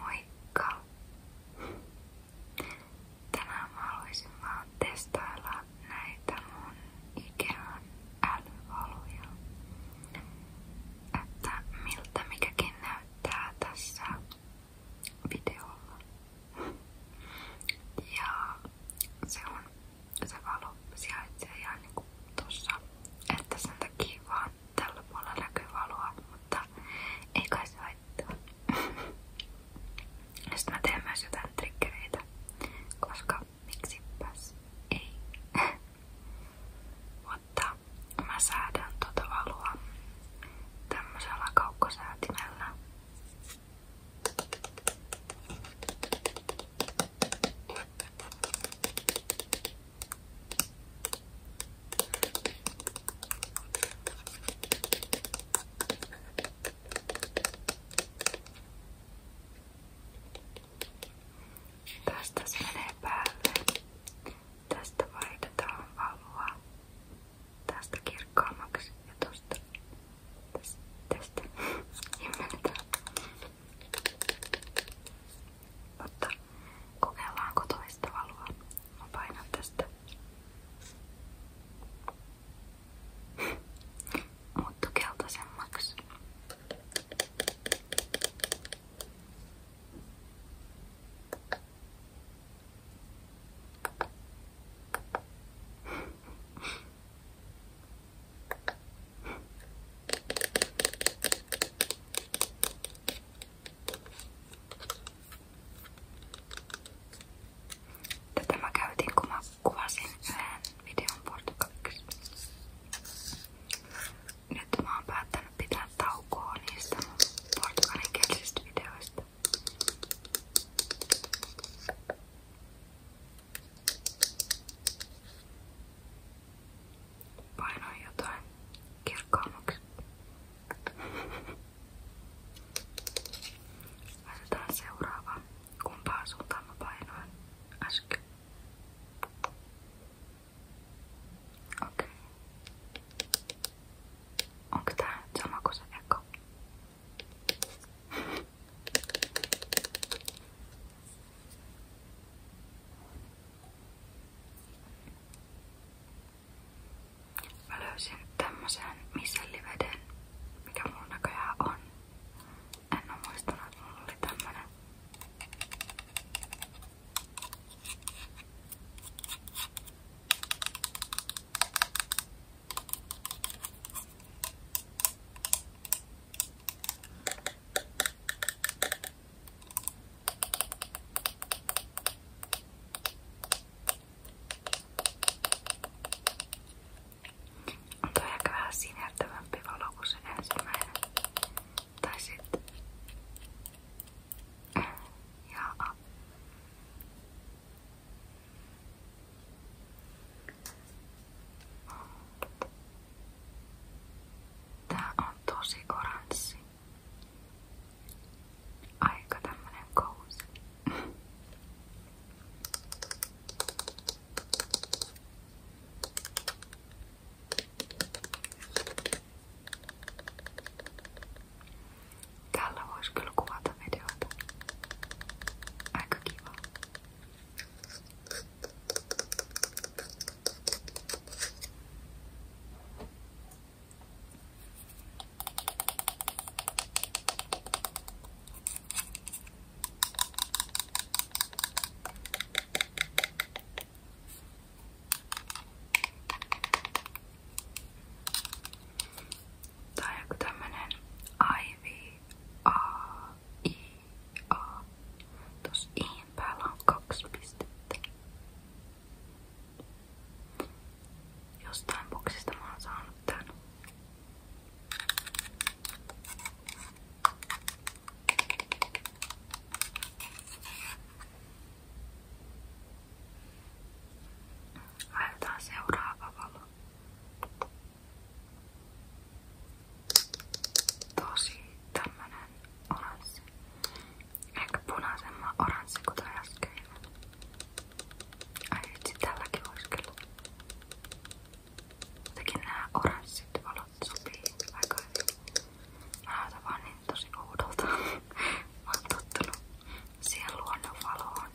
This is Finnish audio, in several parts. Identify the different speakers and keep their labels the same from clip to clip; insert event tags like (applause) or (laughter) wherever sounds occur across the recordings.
Speaker 1: Moikka! Tänään mä haluaisin vaan testailla näitä mun Ikean älyvaluja. Että miltä mikäkin näyttää tässä videolla. Ja se on se valo sijaitsee ihan niinku tossa. Että sen takia vaan on tällä puolella näkyy valoa, mutta ei kai se haittaa. (laughs) Sitten mä teen myös jotain triggereitä, koska miksipäs ei. (laughs) mutta mä säädän tuota valoa tämmöisellä kaukkosäätimellä. Tästä se menee päälle. Tästä vaihdetaan valoa. Tästä kirkkaammaksi ja tosta. Tästä. tästä. Himmennetään. Mutta Kokeillaanko toista valoa? Mä painan tästä. Muuttu keltaisemmaksi. Tätä mä käytin, kun mä kuvasin yhden videon portugaliksi. Nyt mä oon päättänyt pitää taukoa niistä mun portugalinkielistä videoista. Painoin jotain kirkkaammaksi. Laitetaan seuraava. Kumpaan suuntaan mä painoin äsken? Okei. Okay. Onko tää sama kuin se eka? Mä löysin tämmösen miselliveden, mikä mulla näköjään on. En oo muistanut, että mulla oli tämmönen. On toi aika vähän sinertävämpi valo ensimmäinen. Tai sitten... Jaa. Tää on tosi oranssi. Aika tämmönen kausi. Tällä voisi kyllä kuvata videoita. Aika kiva. Tää on joku tämmönen Ivy A I A. Tuossa iin päällä on kaksi pistettä. Jostain boksista mä oon saanut tän. Laitetaan seuraava valo. Tosi tämmönen oranssi. Ehkä punaisemman oranssi kuten äsken. Ai vitsi, tälläkin voisi kyllä. Jotenkin nää oranssit valot sopii aika hyvin. Mä näytän vaan niin tosi oudolta. mä oon tottunut siihen luonnon valoon.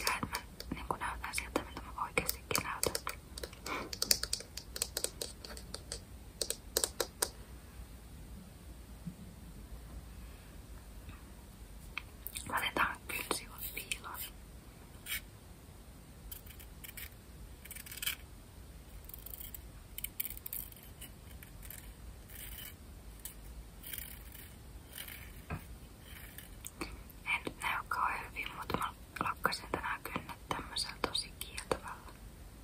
Speaker 1: Ja et mä niinku näytän siltä, miltä mä oikeestikin näytän. Laitetaan kynsivat piiloon. En nyt näy kauhean hyvin, mutta mä lakkasin tänään kynnet tämmöisellä tosi kieltävällä.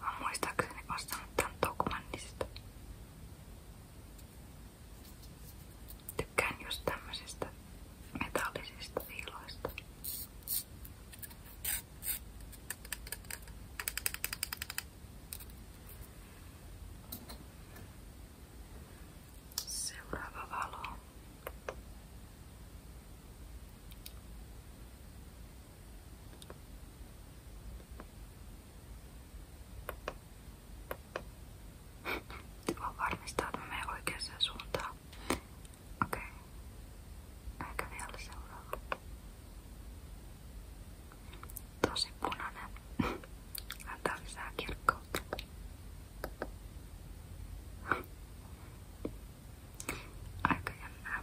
Speaker 1: Mä oon muistaakseni ostanut tän Tokmannista. Tykkään just tämmöisistä metallisista viiloista. Seuraava valo. Voin varmistaa, että mä menen oikeaan suuntaan. Okei. Okay. Ehkä vielä seuraava. Tosi punainen. Antaa lisää kirkkautta. Aika jännää.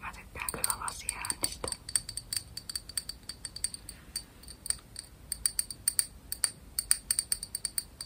Speaker 1: Mä tykkään kyllä lasiäänistä.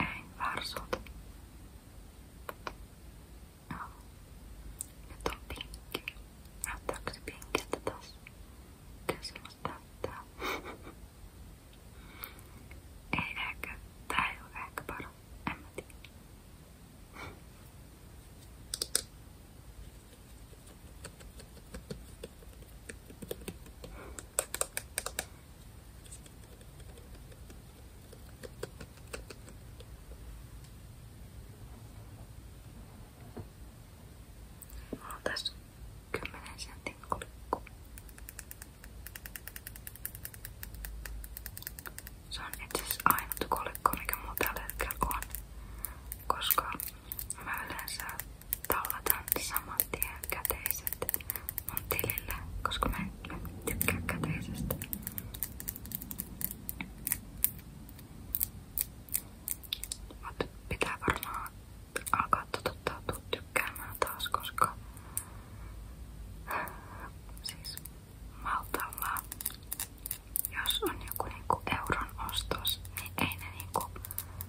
Speaker 1: Ei, väärä suunta. Joo. Nyt on pinkki. Näyttääkö se pinkiltä taas? Kyllä se musta näyttää. ei ehkä. Tää ei oo ehkä paras. En mä tiedä. On tässä kymmenen sentin kolikko. Se on itse asiassa ainut kolikko, mikä mulla tällä hetkellä on, koska mä yleensä tallatan saman tien käteiset mun tilille, koska mä en, mä en tykkää käteisestä. Mut pitää varmaan alkaa totuttautua tykkäämään taas, koska siis maltalla, jos on joku niinku euron ostos, niin ei ne niinku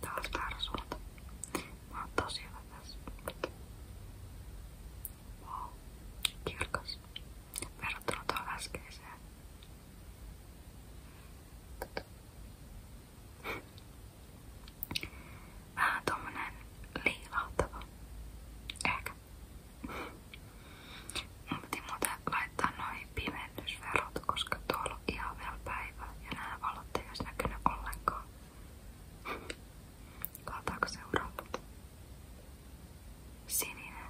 Speaker 1: Taas väärä suunta. Mä oon tosi hyvä tässä. Wow. Kirkas. Verrattuna tuohon äskeiseen. Vähän tommonen liilahtava. Ehkä. Mun piti muuten laittaa noin pimennysverot, koska tuolla on ihan vielä päivä ja nämä valot ei olisi näkynyt ollenkaan. Kaataako seuraava? Sininen.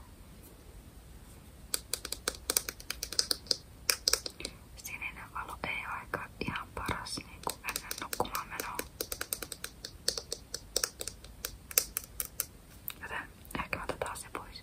Speaker 1: Sininen valo ei ole aika ihan paras niin kuin ennen nukkumaan menoa. Joten ehkä mä otetaan se pois.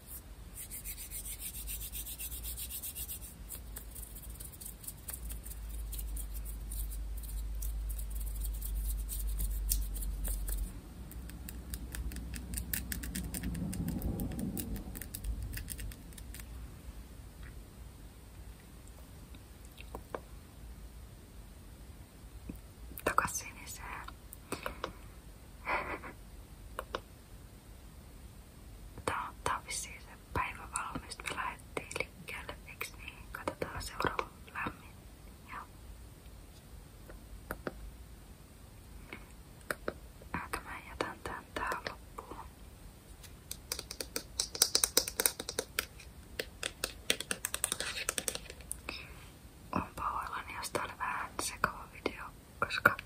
Speaker 1: 高しいですね Tää on vissiin se päivä valmis, me lähdettiin liikkeelle, eiks niin? Katsotaan seuraava lämmin. Ja. Aika mä jätän tän tähän loppuun. On pahoillani, josta oli vähän sekava video koska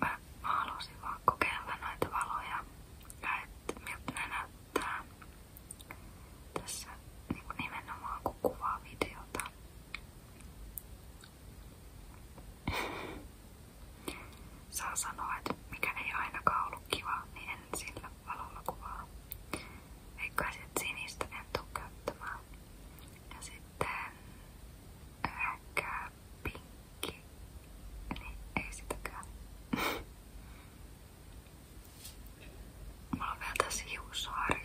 Speaker 1: mä, mä halusin vaan kokeilla noita valoja ja että miltä ne näyttää tässä niin kuin nimenomaan kun kuvaa videota. Saa sanoa, että mikä ei ainakaan ollut kiva, niin en sillä valolla kuvaa. eikä että sinistä en tuu käyttämään. Ja sitten ehkä pinkki. Niin ei sitäkään. (laughs) Mulla on vielä tässä hiussarja.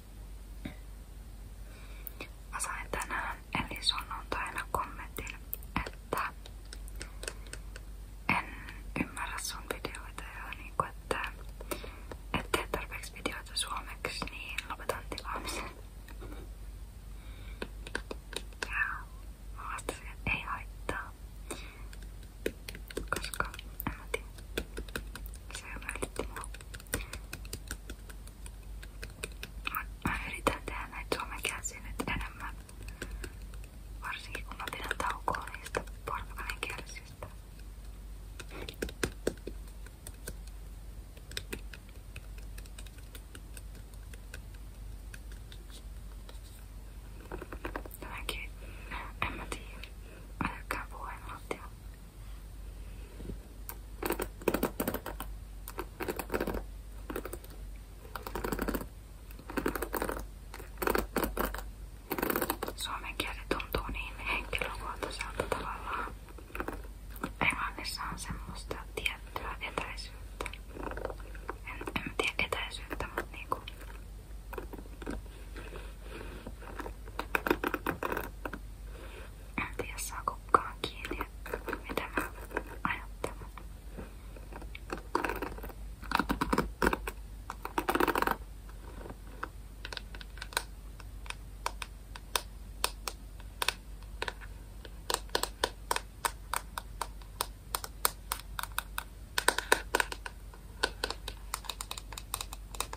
Speaker 1: Mä sain tänään eli sunnuntaina kommentin, että en ymmärrä sun videoita ja niinku, että et tee tarpeeksi videoita suomeksi, niin lopetan tilaamisen. Ja mä vastasin, että ei haittaa. Koska en mä tiedä. Se on mua. Mä, mä yritän tehdä näitä suomen käsiä nyt enemmän. Varsinkin kun mä pidän taukoa niistä portugalin kielisistä. Jotenkin, en mä tiedä. Mä tykkään puhua englantia. Suomen kieli tuntuu niin henkilökohtaiselta tavallaan. Englannissa on semmoista tiettyä etäisyyttä. En, en tiedä etäisyyttä, mutta niinku en tiedä saa kukaan kiinni, mitä mä ajattelen.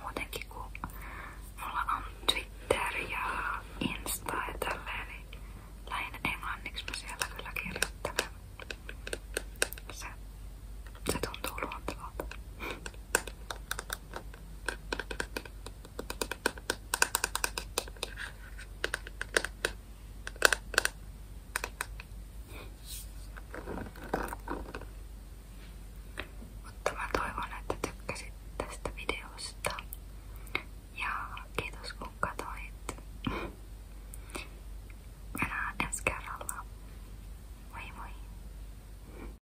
Speaker 1: Muutenkin kun mulla on Twitter ja Insta ja tälleen, niin lähinnä englanniksi mä siellä kyllä kirjoittelen. Se, se tuntuu luontevalta. Mutta mä toivon, että tykkäsit tästä videosta. Ja kiitos kun katsoit. Mennään ensi kerralla. Moi moi!